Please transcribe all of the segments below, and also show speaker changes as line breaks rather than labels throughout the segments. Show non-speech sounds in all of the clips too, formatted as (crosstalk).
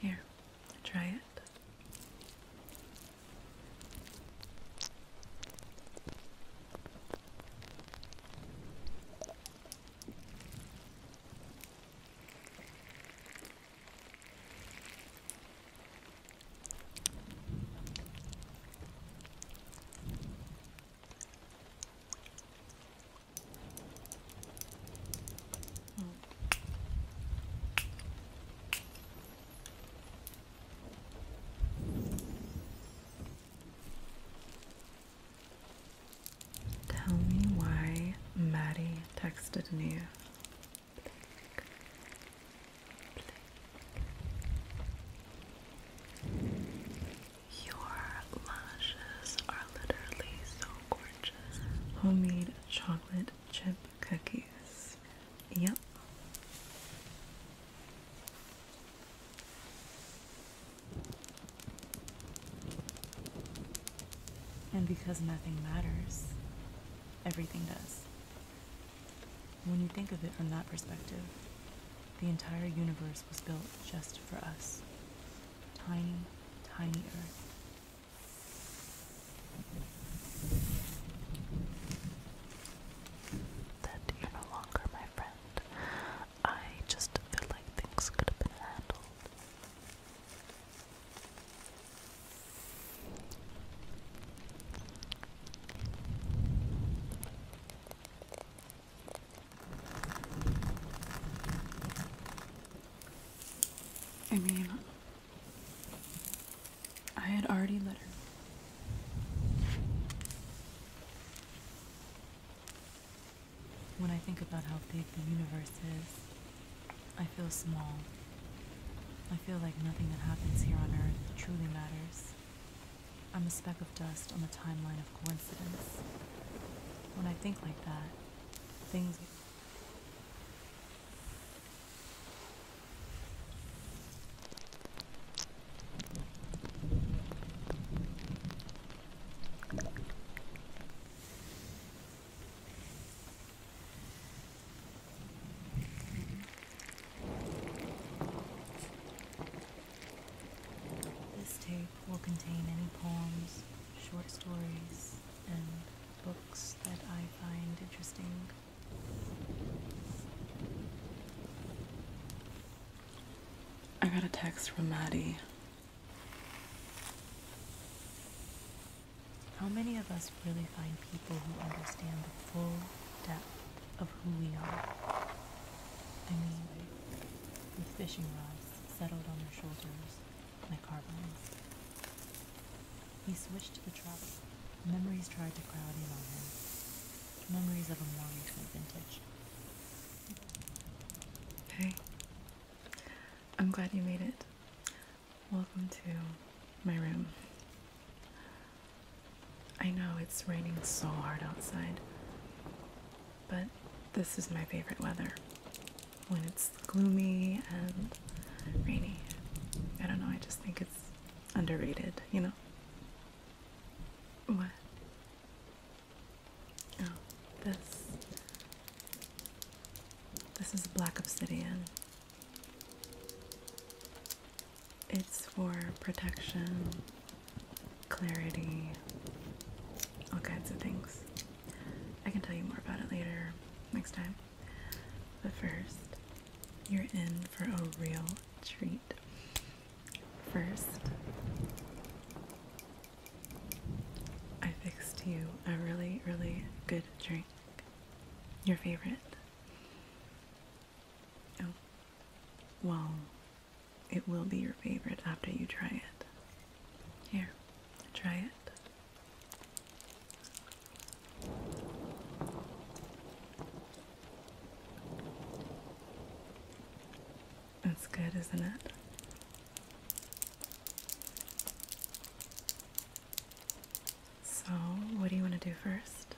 Here, try it. Mm. Tell me why Maddie texted me. Your lashes are literally so gorgeous. Homemade chocolate chip cookies. Yep. And because nothing matters, everything does. When you think of it from that perspective, the entire universe was built just for us. Tiny, tiny Earth, that you're no longer my friend. I just feel like things could have been handled. I mean, I had already let her. When I think about how big the universe is, I feel small. I feel like nothing that happens here on Earth truly matters. I'm a speck of dust on the timeline of coincidence. When I think like that, things. This tape will contain any poems, short stories, and books that I find interesting. I got a text from Maddie. How many of us really find people who understand the full depth of who we are? I mean, with fishing rods settled on their shoulders, my car He switched to the travel. Memories tried to crowd in on him. Memories of a more recent vintage. Hey. I'm glad you made it. Welcome to my room. I know it's raining so hard outside, but this is my favorite weather when it's gloomy and rainy. I don't know, I just think it's underrated, you know? What? Oh, this. This is black obsidian. It's for protection, clarity, all kinds of things. I can tell you more about it later, next time. But first, you're in for a real treat. First, I fixed you a really, really good drink. Your favorite. Oh, well, it will be your favorite after you try it. Here, try it. That's good, isn't it? So, what do you want to do first?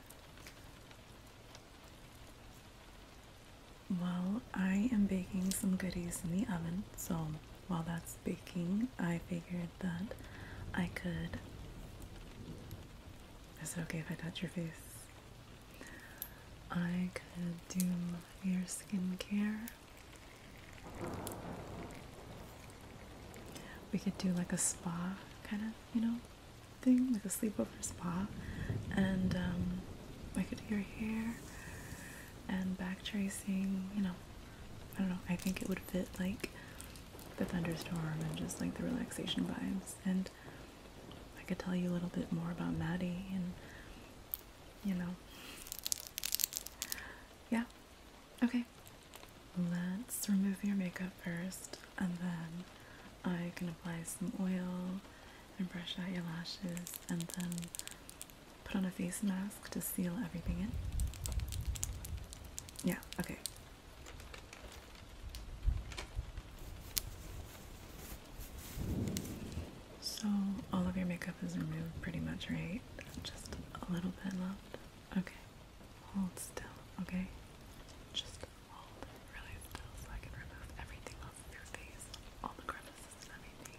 Well, I am baking some goodies in the oven, so while that's baking, I figured that I could. Is it okay if I touch your face? I could do your skincare. We could do like a spa kind of, you know, thing, like a sleepover spa. And um, I could do your hair and back tracing, you know, I don't know, I think it would fit like the thunderstorm and just like the relaxation vibes. And I could tell you a little bit more about Maddie and you know. Yeah. Okay. Let's remove your makeup first and then I can apply some oil and brush out your lashes and then put on a face mask to seal everything in. Yeah, okay. So all of your makeup is removed pretty much, right? Just a little bit left. Okay. Hold still, okay? Just hold really still so I can remove everything off your face. All the crevices and everything.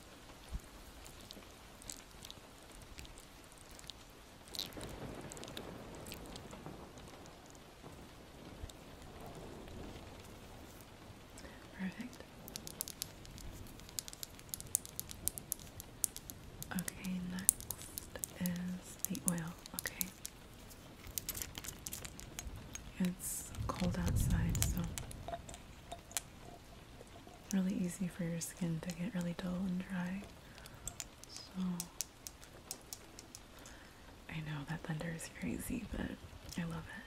Perfect. Okay, next is the oil. Okay. It's cold outside, so really easy for your skin to get really dull and dry. So I know that thunder is crazy, but I love it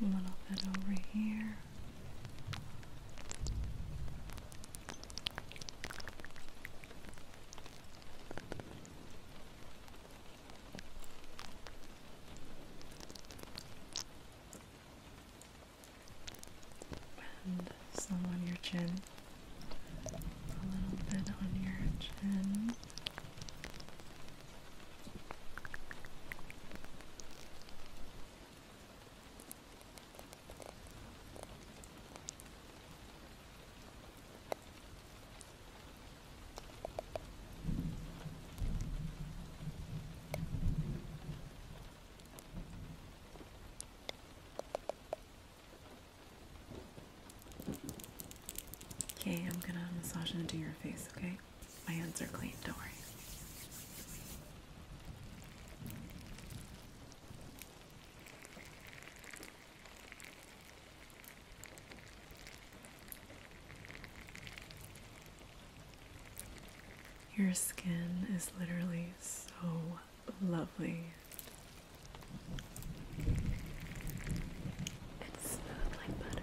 a little bit over here. And some on your chin, a little bit on your chin, Okay, I'm gonna massage into your face, okay? My hands are clean, don't worry. Your skin is literally so lovely. It's smooth like butter.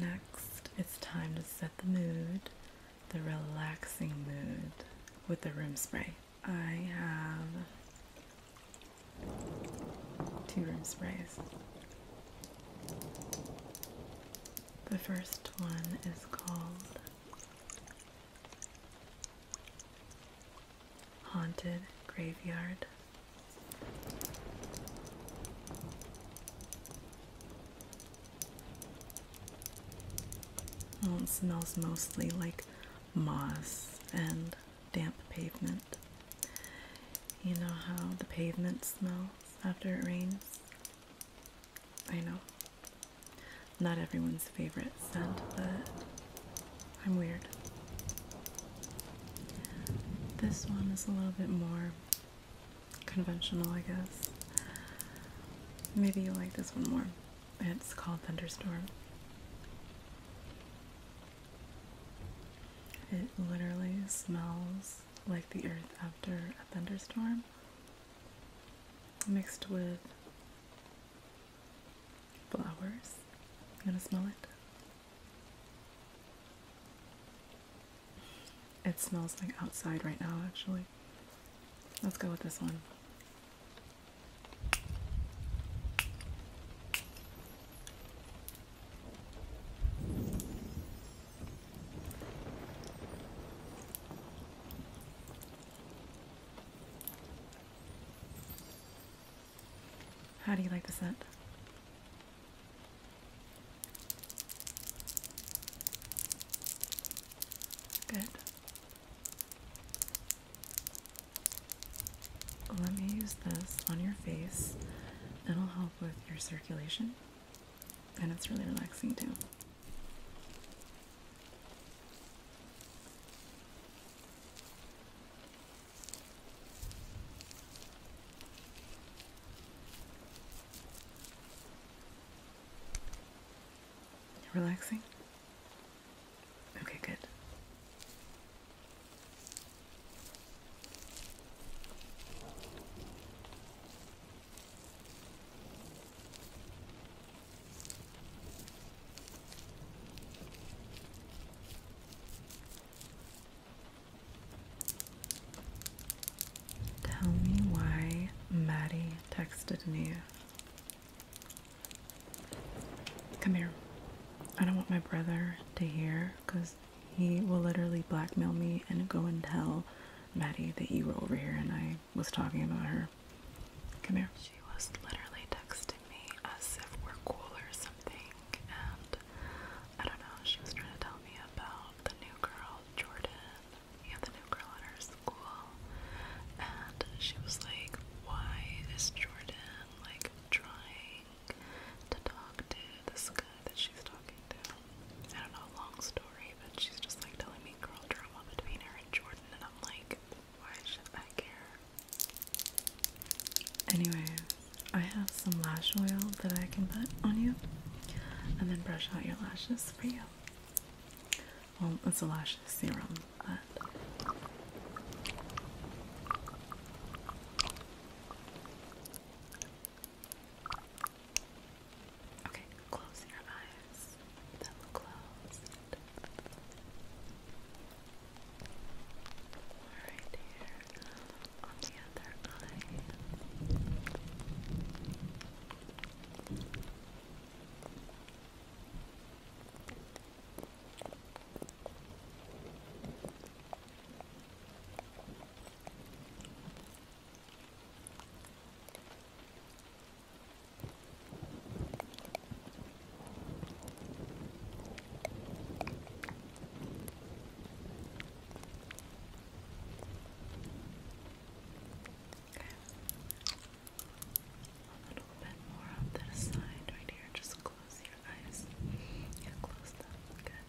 Next, it's time to set the mood, the relaxing mood with the room spray. I have two room sprays. The first one is called Haunted Graveyard. it smells mostly like moss and damp pavement. You know how the pavements smell after it rains. I know. Not everyone's favorite scent, but I'm weird. This one is a little bit more conventional, I guess. Maybe you like this one more. It's called Thunderstorm. It literally smells like the earth after a thunderstorm, mixed with flowers. You going to smell it? It smells like outside right now, actually. Let's go with this one. How do you like the scent? Good. Let me use this on your face. It'll help with your circulation and it's really relaxing too. Relaxing? Okay, good. Tell me why Maddie texted me. Come here. I don't want my brother to hear because he will literally blackmail me and go and tell Maddie that you were over here and I was talking about her. Come here. She was literally texting me as if we're cool or something, and I don't know, she was trying to tell me about the new girl, Jordan. Yeah, the new girl at her school. And she was like, Why is Jordan like trying to talk to this guy that she's talking I don't know, a long story, but she's just like telling me girl drama between her and Jordan, and I'm like, why should I care? Anyway, I have some lash oil that I can put on you, and then brush out your lashes for you. Well, it's a lash serum, but. Okay, close your eyes. Them closed. Right here on the other eye. A little bit more on this side right here. Just close your eyes. Yeah, close them. Good.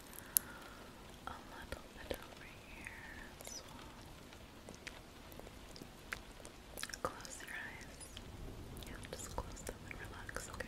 a little bit over here Close your eyes. Yeah, just close them and relax, Okay.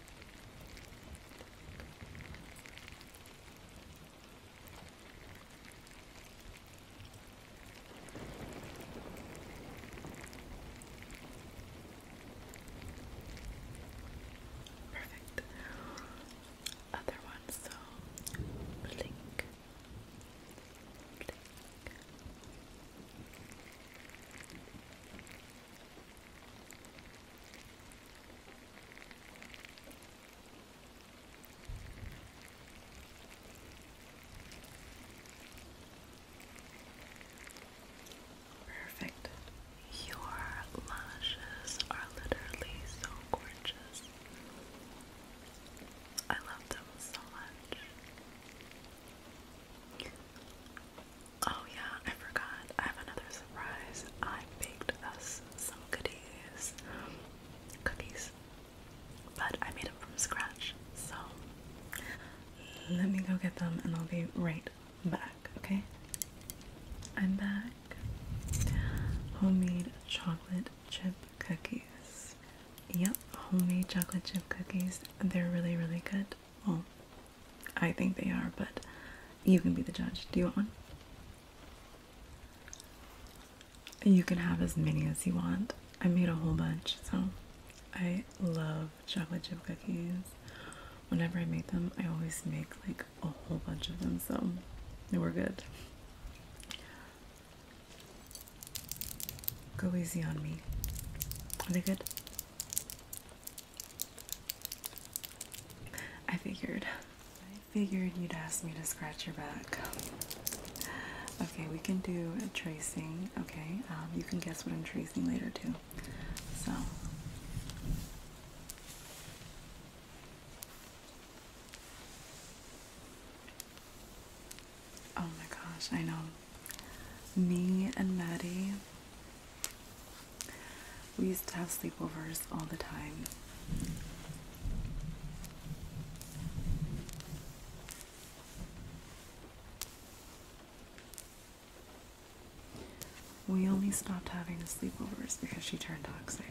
Perfect. Other one, so blink. Blink. Perfect. Your lashes are literally so gorgeous. I love them so much. Oh yeah, I forgot. I have another surprise. I baked us some goodies. Cookies. But I made them from scratch. So let me go get them and I'll be right back, okay? I'm back. Homemade chocolate chip cookies. Yep, homemade chocolate chip cookies. They're really, really good. Well, I think they are, but you can be the judge. Do you want one? You can have as many as you want. I made a whole bunch, so I love chocolate chip cookies. Whenever I make them, I always make like a whole bunch of them, so we're good. Go easy on me. Are they good? I figured. I figured you'd ask me to scratch your back. Okay, we can do a tracing. Okay, um, you can guess what I'm tracing later too. So. Oh my gosh, I know. Me and Maddie we used to have sleepovers all the time. We only stopped having sleepovers because she turned toxic.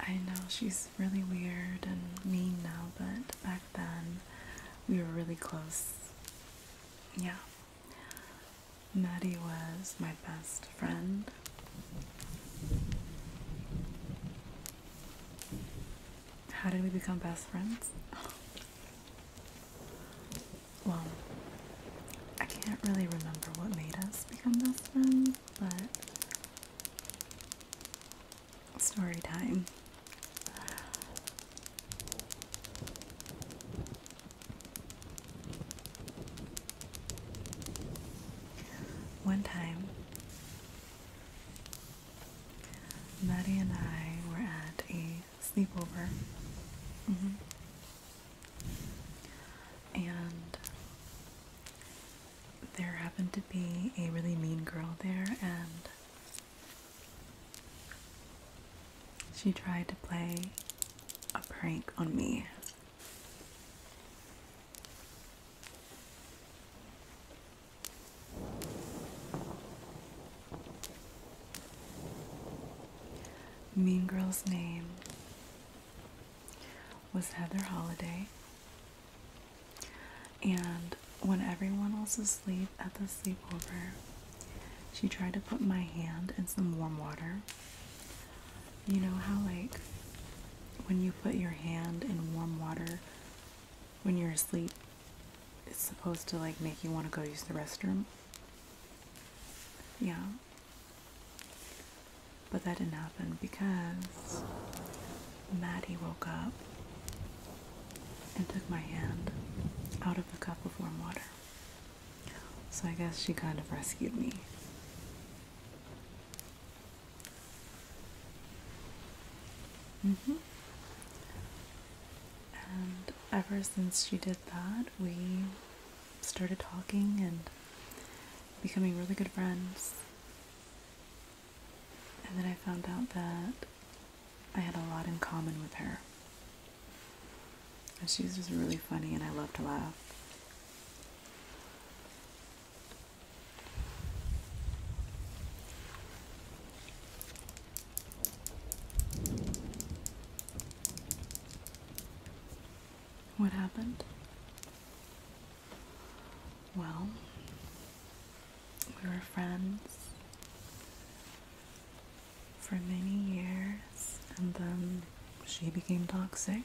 I know she's really weird and mean now, but back then we were really close. Yeah. Maddie was my best friend. How did we become best friends? (laughs) well, I can't really remember what made us become best friends, but story time. One time, Maddie and I were at a sleepover. Mm-hmm and there happened to be a really mean girl there, and she tried to play a prank on me. Mean Girl's name was Heather Holiday. And when everyone else was asleep at the sleepover, she tried to put my hand in some warm water. You know how, like, when you put your hand in warm water when you're asleep, it's supposed to, like, make you want to go use the restroom? Yeah. But that didn't happen because Maddie woke up and took my hand out of the cup of warm water. So I guess she kind of rescued me. Mm-hmm. And ever since she did that, we started talking and becoming really good friends. And then I found out that I had a lot in common with her. And she was just really funny and I love to laugh. What happened? Well, we were friends for many years, and then she became toxic.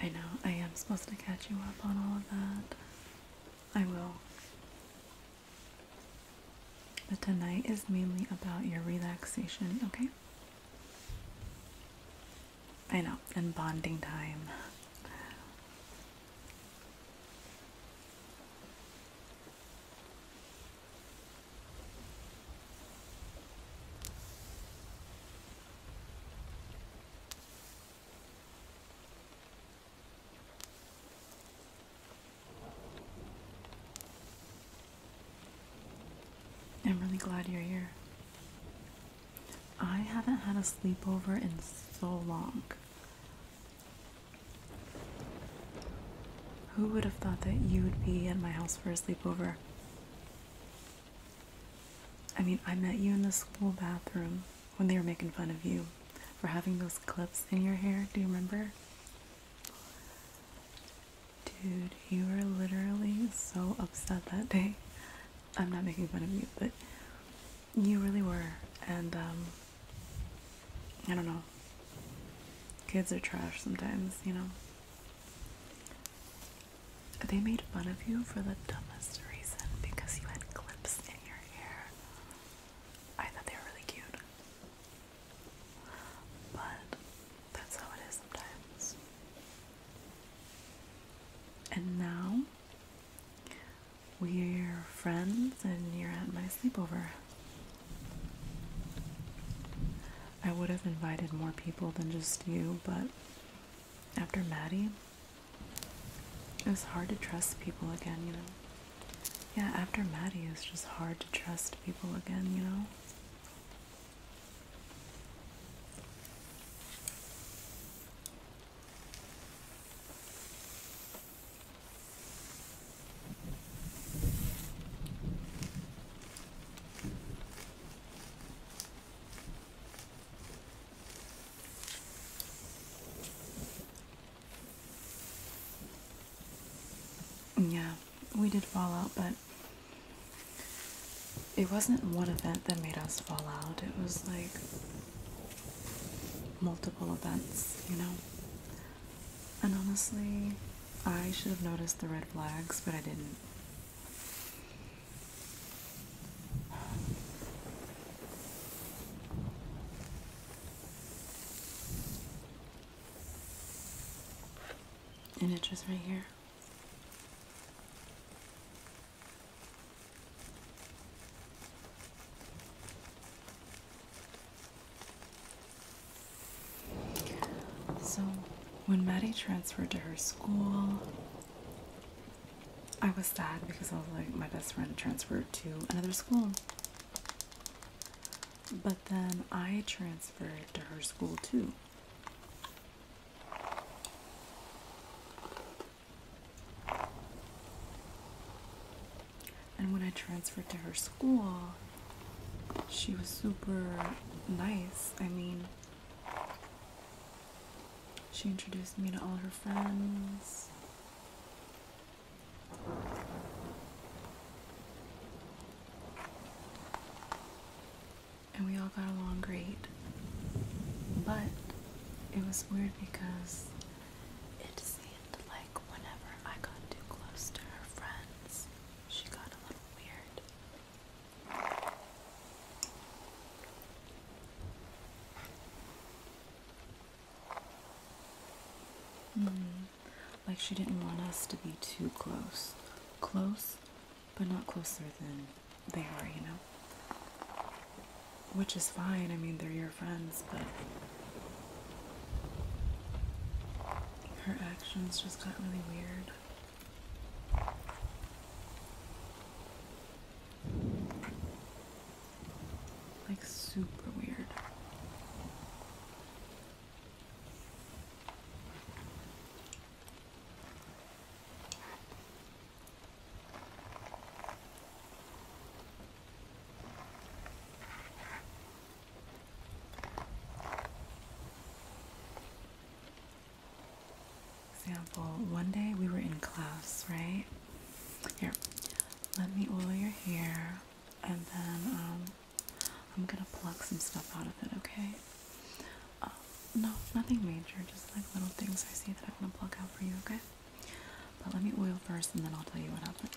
I know I am supposed to catch you up on all of that. I will. But tonight is mainly about your relaxation, okay? I know, and bonding time. I'm really glad you're here. I haven't had a sleepover in so long. Who would have thought that you would be at my house for a sleepover? I mean, I met you in the school bathroom when they were making fun of you for having those clips in your hair. Do you remember? Dude, you were literally so upset that day. I'm not making fun of you, but you really were. And, um, I don't know. Kids are trash sometimes, you know. They made fun of you for the dumbest reason because you had clips in your hair. I thought they were really cute. But that's how it is sometimes. And now we're friends and you're at my sleepover. I would have invited more people than just you, but after Maddie, it was hard to trust people again, you know. Yeah, after Maddie, it was just hard to trust people again, you know. Yeah, we did fall out, but it wasn't one event that made us fall out. It was like multiple events, you know? And honestly, I should have noticed the red flags, but I didn't. And it just right here. So when Maddie transferred to her school, I was sad because I was like, my best friend transferred to another school. But then I transferred to her school too. And when I transferred to her school, she was super nice. I mean, she introduced me to all her friends. And we all got along great. But it was weird because it seemed like whenever I got too close to her friends, she got a little weird. Mm-hmm. Like she didn't want us to be too close. Close, but not closer than they are, you know? Which is fine, I mean, they're your friends, but her actions just got really weird. Like super weird. Example, one day we were in class, right? Here, let me oil your hair, and then um, I'm gonna pluck some stuff out of it. Okay? Uh, no, nothing major. Just like little things I see that I wanna pluck out for you. Okay? But let me oil first, and then I'll tell you what happened.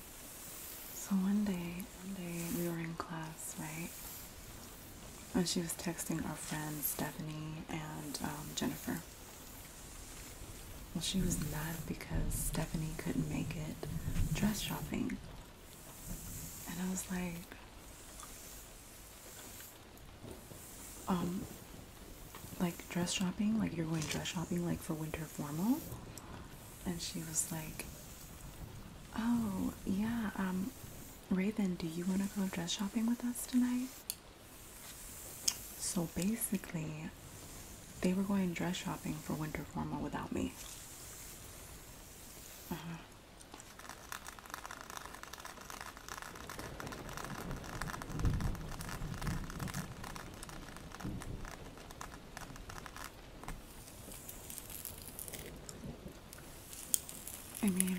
So one day, one day we were in class, right? And she was texting our friends Stephanie and um, Jennifer. Well, she was mad because Stephanie couldn't make it dress shopping. And I was like, um, like dress shopping, like you're going dress shopping, like for winter formal and she was like, "Oh yeah, um, Raven, do you want to go dress shopping with us tonight?" So basically, they were going dress shopping for winter formal without me. Uh-huh. I mean,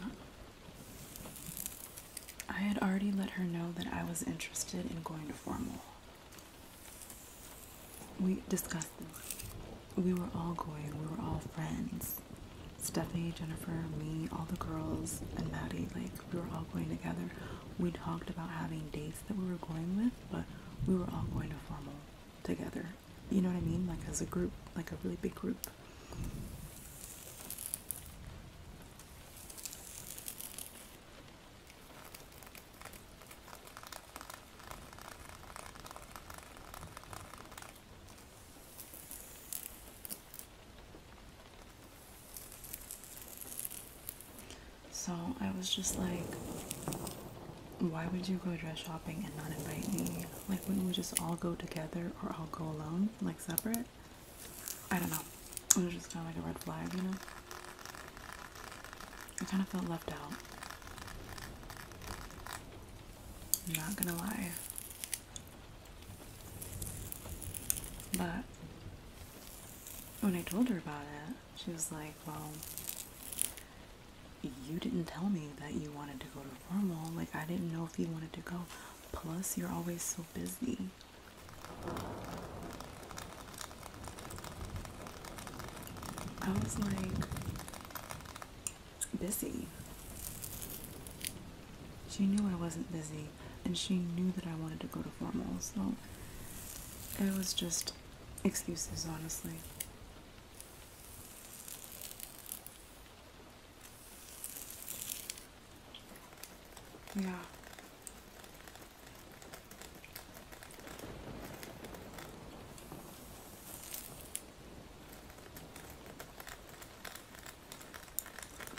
I had already let her know that I was interested in going to formal. We discussed We were all going, we were all friends. Stephanie, Jennifer, me, all the girls, and Maddie, like, we were all going together. We talked about having dates that we were going with, but we were all going to formal together. You know what I mean? Like as a group, like a really big group. So I was just like, why would you go dress shopping and not invite me? Like, wouldn't we just all go together or all go alone, like separate? I don't know. It was just kind of like a red flag, you know? I kind of felt left out. I'm not gonna lie. But when I told her about it, she was like, well, you didn't tell me that you wanted to go to formal. Like, I didn't know if you wanted to go. Plus, you're always so busy. I was like, busy. She knew I wasn't busy, and she knew that I wanted to go to formal, so it was just excuses, honestly. Yeah.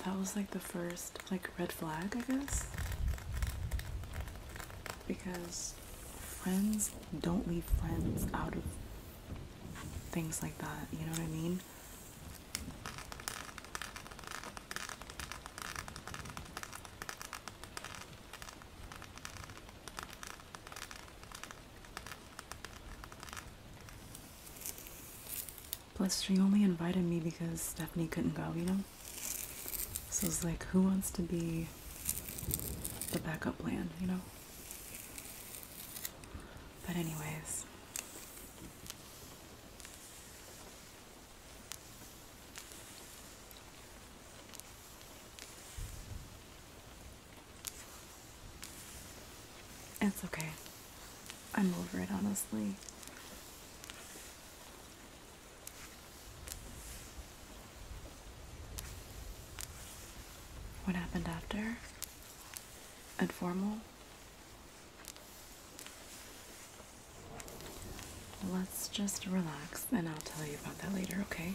That was like the first like red flag, I guess. Because friends. don't leave friends out of things like that. You know what I mean? Plus, she only invited me because Stephanie couldn't go, you know? So it's like, who wants to be the backup plan, you know? But, anyways. It's okay. I'm over it, honestly. What happened after? Informal? Let's just relax and I'll tell you about that later, okay?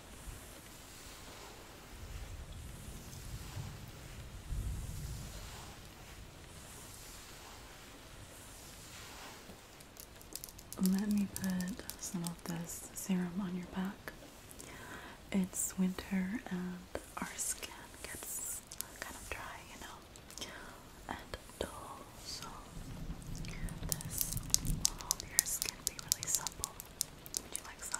Let me put some of this serum on your back. It's winter and our skin gets kind of dry, you know, and dull, so this will help your skin be really supple. Would you like some?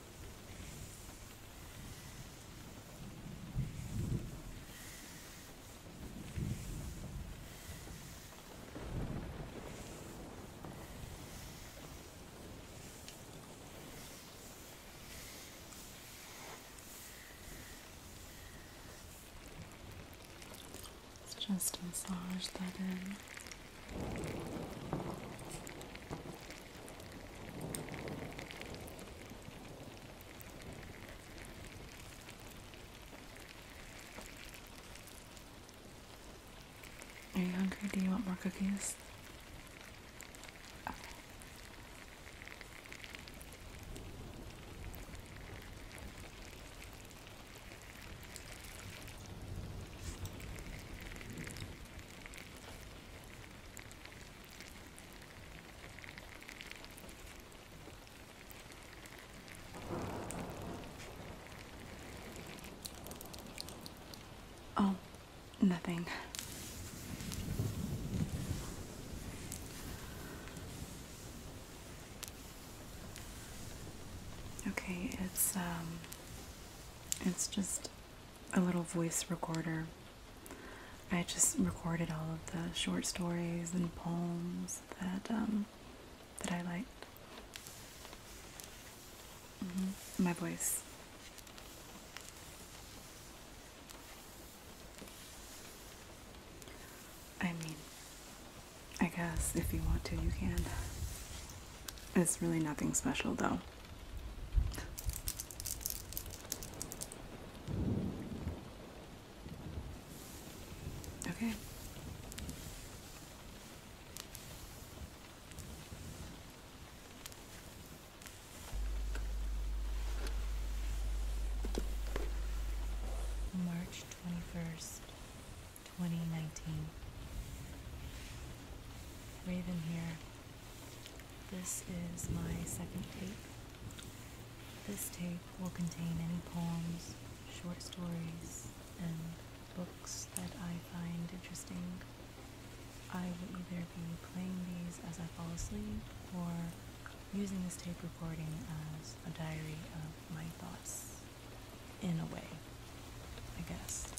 Just massage that in. Are you hungry? Do you want more cookies? Oh, nothing. Okay, it's um it's just a little voice recorder. I just recorded all of the short stories and poems that um, that I liked. Mm-hmm. My voice. I mean, I guess if you want to, you can. It's really nothing special, though. Okay. March 21st, 2019. Raven here. This is my second tape. This tape will contain any poems, short stories, and books that I find interesting. I will either be playing these as I fall asleep or using this tape recording as a diary of my thoughts, in a way, I guess.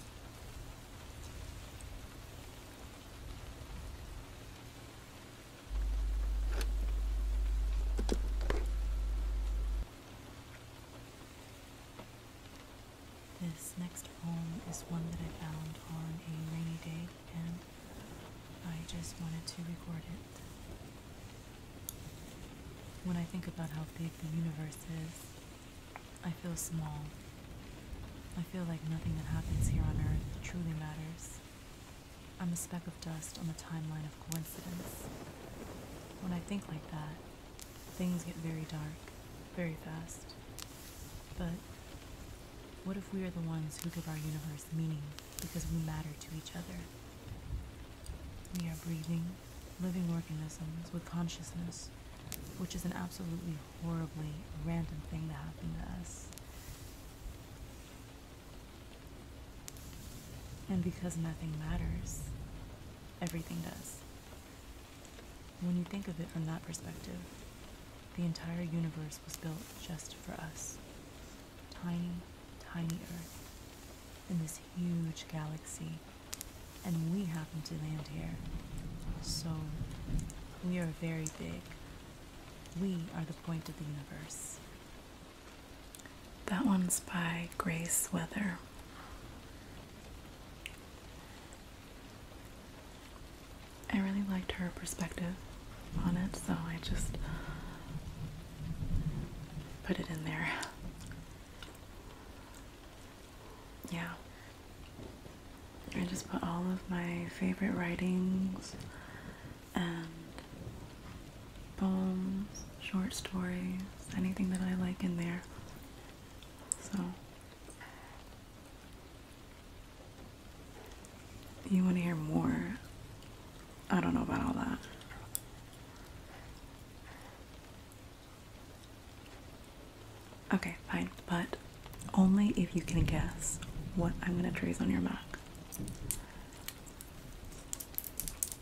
This next poem is one that I found on a rainy day and I just wanted to record it. When I think about how big the universe is, I feel small. I feel like nothing that happens here on Earth truly matters. I'm a speck of dust on the timeline of coincidence. When I think like that, things get very dark, very fast. But what if we are the ones who give our universe meaning because we matter to each other? We are breathing, living organisms with consciousness which is an absolutely horribly random thing that happened to us. And because nothing matters, everything does. When you think of it from that perspective, the entire universe was built just for us. Tiny, tiny Earth in this huge galaxy and we happen to land here. So, we are very big. We are the point of the universe. That one's by Grace Weather. I really liked her perspective on it, so I just put it in there yeah. I just put all of my favorite writings and poems, short stories, anything that I like in there. So, you want to hear more? I don't know about all that. Okay, fine, but only if you can guess what I'm going to trace on your map.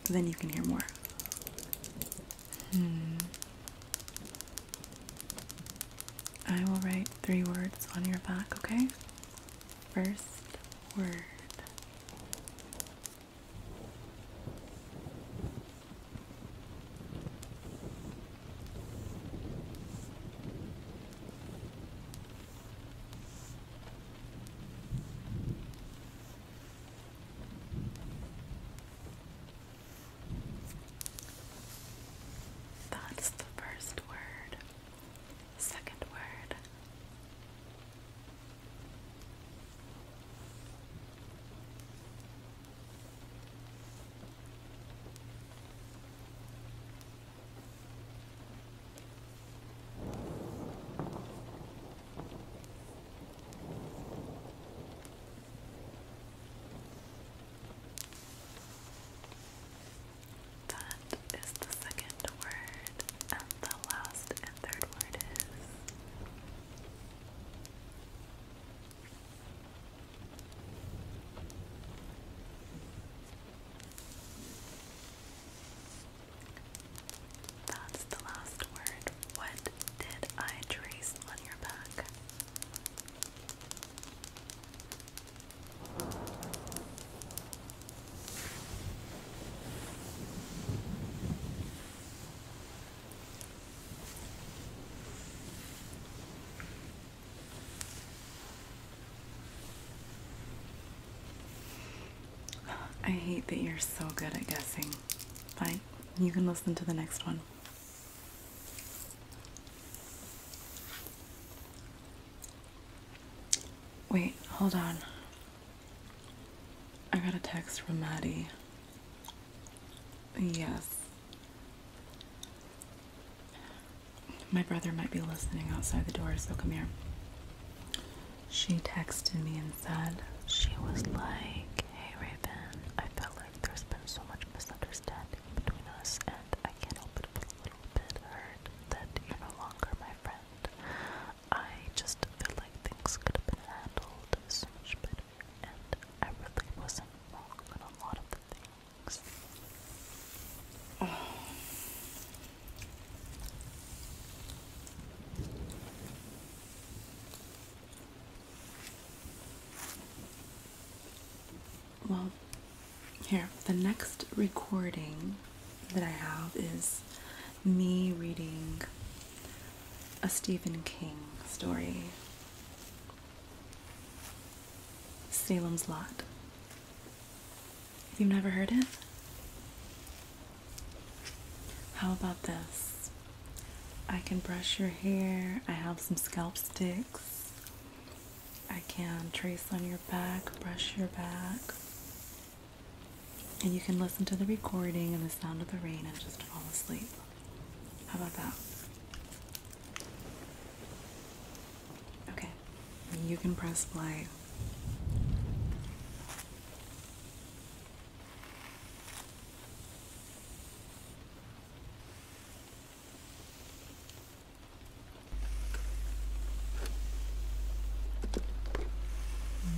Then you can hear more. Hmm. I will write three words on your back, okay? First word. That's the first word. Second word. That is the second word, and the last and third word is that's the last word. What did I trace on your back? I hate that you're so good at guessing. Fine, you can listen to the next one. Wait, hold on. I got a text from Maddie. Yes, my brother might be listening outside the door, so come here. She texted me and said, She was like, Hey Raven, I felt like there's been so much misunderstanding between us, and I can't help but feel a little bit hurt that you're no longer my friend. I just feel like things could have been handled so much better, and I really wasn't wrong in a lot of the things (sighs) Well, here, the next recording that I have is me reading a Stephen King story Salem's Lot. You've never heard it? How about this? I can brush your hair, I have some scalp sticks, I can trace on your back, brush your back, and you can listen to the recording and the sound of the rain and just fall asleep. How about that? Okay, you can press play.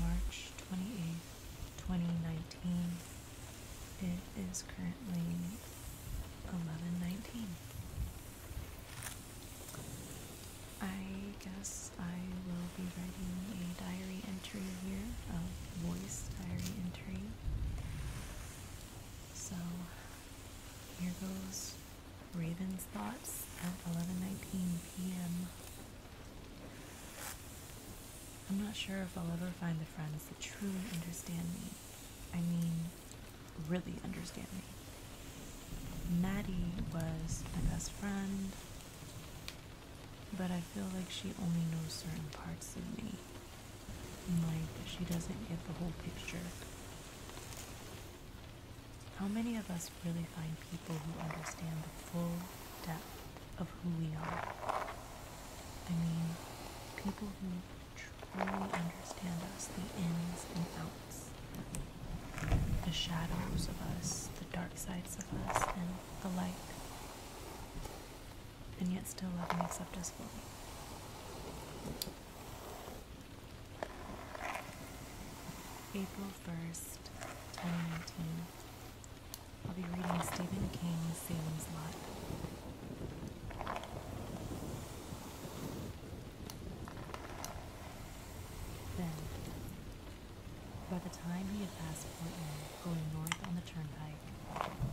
March 28th, 2019. It is currently eleven nineteen. I guess I will be writing a diary entry here, a voice diary entry. So here goes Raven's thoughts at 11:19 p.m. I'm not sure if I'll ever find the friends that truly understand me. I mean, really understand me. Maddie was my best friend, but I feel like she only knows certain parts of me. Like, she doesn't get the whole picture. How many of us really find people who understand the full depth of who we are? I mean, people who truly understand us, the ins and outs, the shadows of us, the dark sides of us, and the light, and yet still love and accept us fully. April 1st, 2019. I'll be reading Stephen King's Salem's Light* by the time he had passed Portland, going north on the turnpike,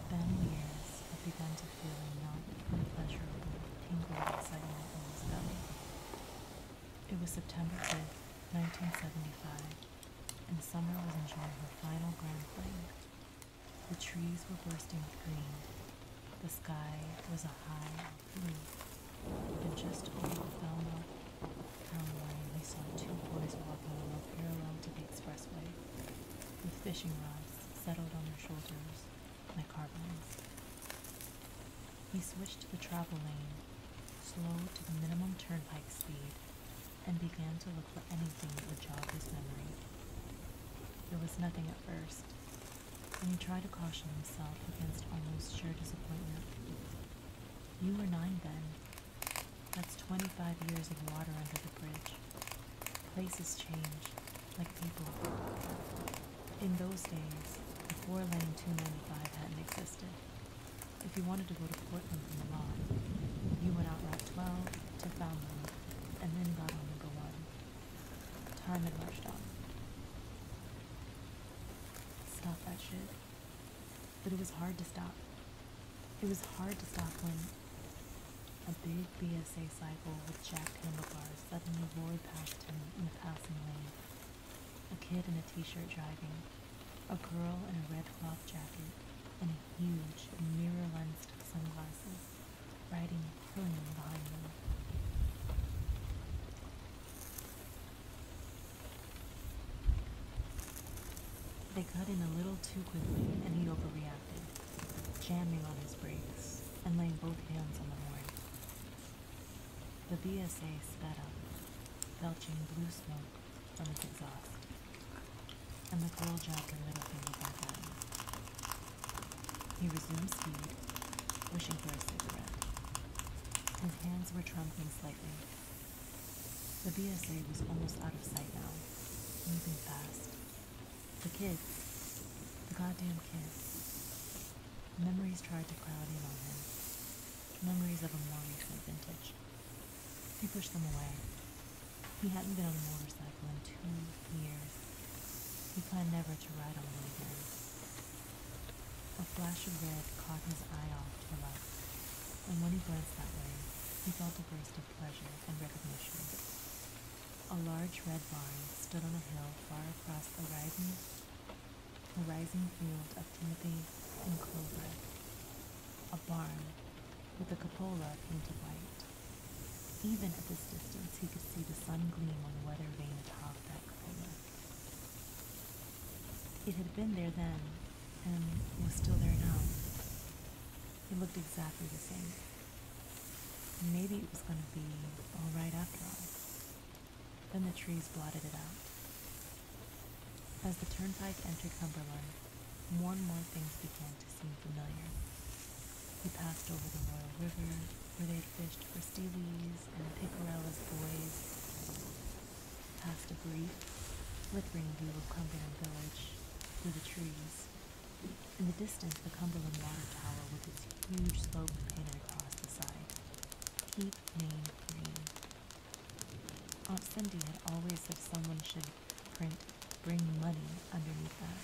Ben Lears had begun to feel a not unpleasurable tingle of in his belly. It was September 5th, 1975, and Summer was enjoying her final grand fling. The trees were bursting with green. The sky was a high blue. And just over the Town Line, we saw two boys walking along parallel to the expressway, with fishing rods settled on their shoulders like carbines. We switched to the travel lane, slowed to the minimum turnpike speed, and began to look for anything that would jog his memory. There was nothing at first, and he tried to caution himself against almost sure disappointment. You were nine then. That's 25 years of water under the bridge. Places change, like people. In those days, the four-lane 295 hadn't existed. If you wanted to go to Portland from Milan, you went out Route 12 to Falmouth, and then got on the go Time had rushed on. Stop that shit. But it was hard to stop. It was hard to stop when a big BSA cycle with jack handlebars suddenly roared past him in a passing lane. A kid in a t-shirt driving, a girl in a red cloth jacket, and a huge mirror-lensed sunglasses. They cut in a little too quickly, and he overreacted, jamming on his brakes and laying both hands on the horn. The BSA sped up, belching blue smoke from its exhaust, and the girl jabbed her little finger back at him. He resumed speed, wishing for a cigarette. His hands were trembling slightly. The BSA was almost out of sight now, moving fast. The kids. The goddamn kids. Memories tried to crowd in on him. Memories of a more recent vintage. He pushed them away. He hadn't been on the motorcycle motorcycle two years. He planned never to ride on it again. A flash of red caught his eye off to the left, and when he glanced that way, he felt a burst of pleasure and recognition. A large red barn stood on a hill far across the rising, rising field of timothy and clover. A barn with a cupola painted white. Even at this distance, he could see the sun gleam on the weather vane atop that cupola. It had been there then, and was still there now. It looked exactly the same. Maybe it was going to be alright after all. Then the trees blotted it out. As the turnpike entered Cumberland, more and more things began to seem familiar. We passed over the Royal River, where they fished for steelies and pickerel boys, passed a brief, flickering view of Cumberland Village through the trees. In the distance, the Cumberland Water Tower with its huge slope painted across the side. Keep name green. Aunt Cindy had always said someone should print bring money underneath that.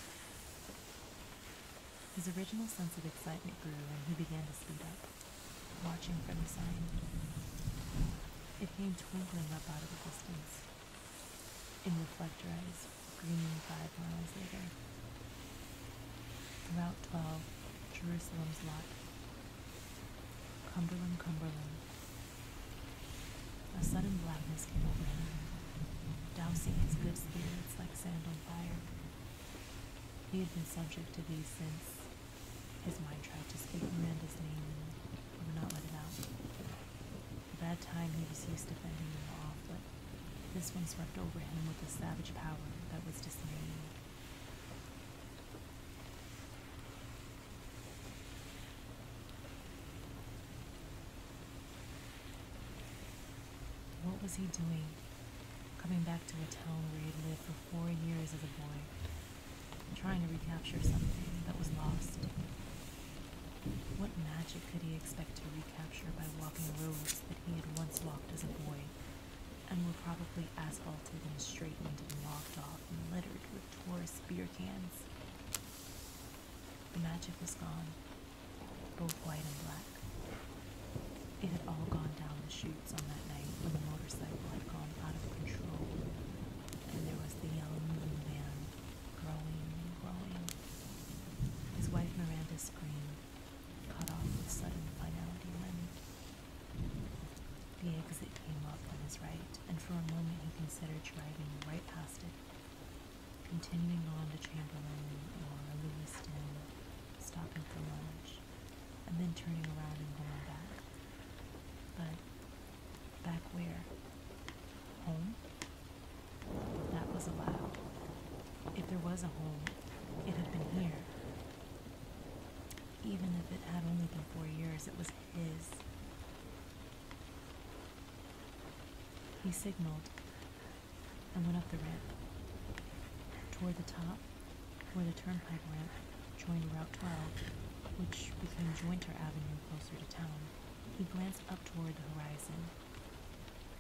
His original sense of excitement grew and he began to speed up, watching from the sign. It came twinkling up out of the distance. In reflector Green five miles later. Route 12, Jerusalem's lot. Cumberland, Cumberland. A sudden blackness came over him, dousing his good spirits like sand he had been subject to these since his mind tried to speak Miranda's name and would not let it out. that time, he was used to bending them off, but this one swept over him with a savage power that was dismaying. What was he doing, coming back to a town where he'd lived for four years as a boy, trying to recapture something that was lost? What magic could he expect to recapture by walking roads that he had once walked as a boy, and were probably asphalted and straightened and lopped off and littered with tourist beer cans? The magic was gone both white and black. It had all gone down the chutes on that night when the motorcycle had gone out of control, and there was the yellow moving growing and growing. His wife Miranda screamed, cut off with sudden finality limit. The exit came up on his right, and for a moment he considered driving right past it continuing on to Chamberlain or uh, Lewiston, stopping for lunch, and then turning around and going back. But back where? Home? That was allowed. If there was a home, it had been here. Even if it had only been four years, it was his. He signaled, and went up the ramp. Toward the top, where the turnpike ramp joined Route 12, which became Jointer Avenue closer to town, he glanced up toward the horizon.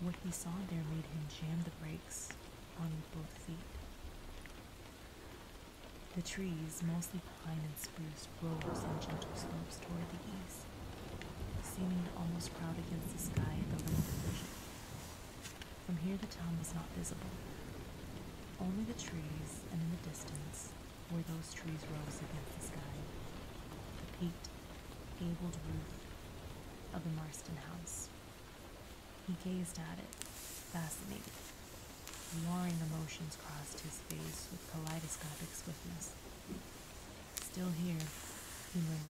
What he saw there made him jam the brakes on both feet. The trees, mostly pine and spruce, rose in gentle slopes toward the east, seeming to almost crowd against the sky at the limit of vision. From here the town was not visible. Only the trees, and in the distance, where those trees rose against the sky, the peaked, gabled roof of the Marston house. He gazed at it, fascinated. Warring emotions crossed his face with kaleidoscopic swiftness. Still here, he murmured.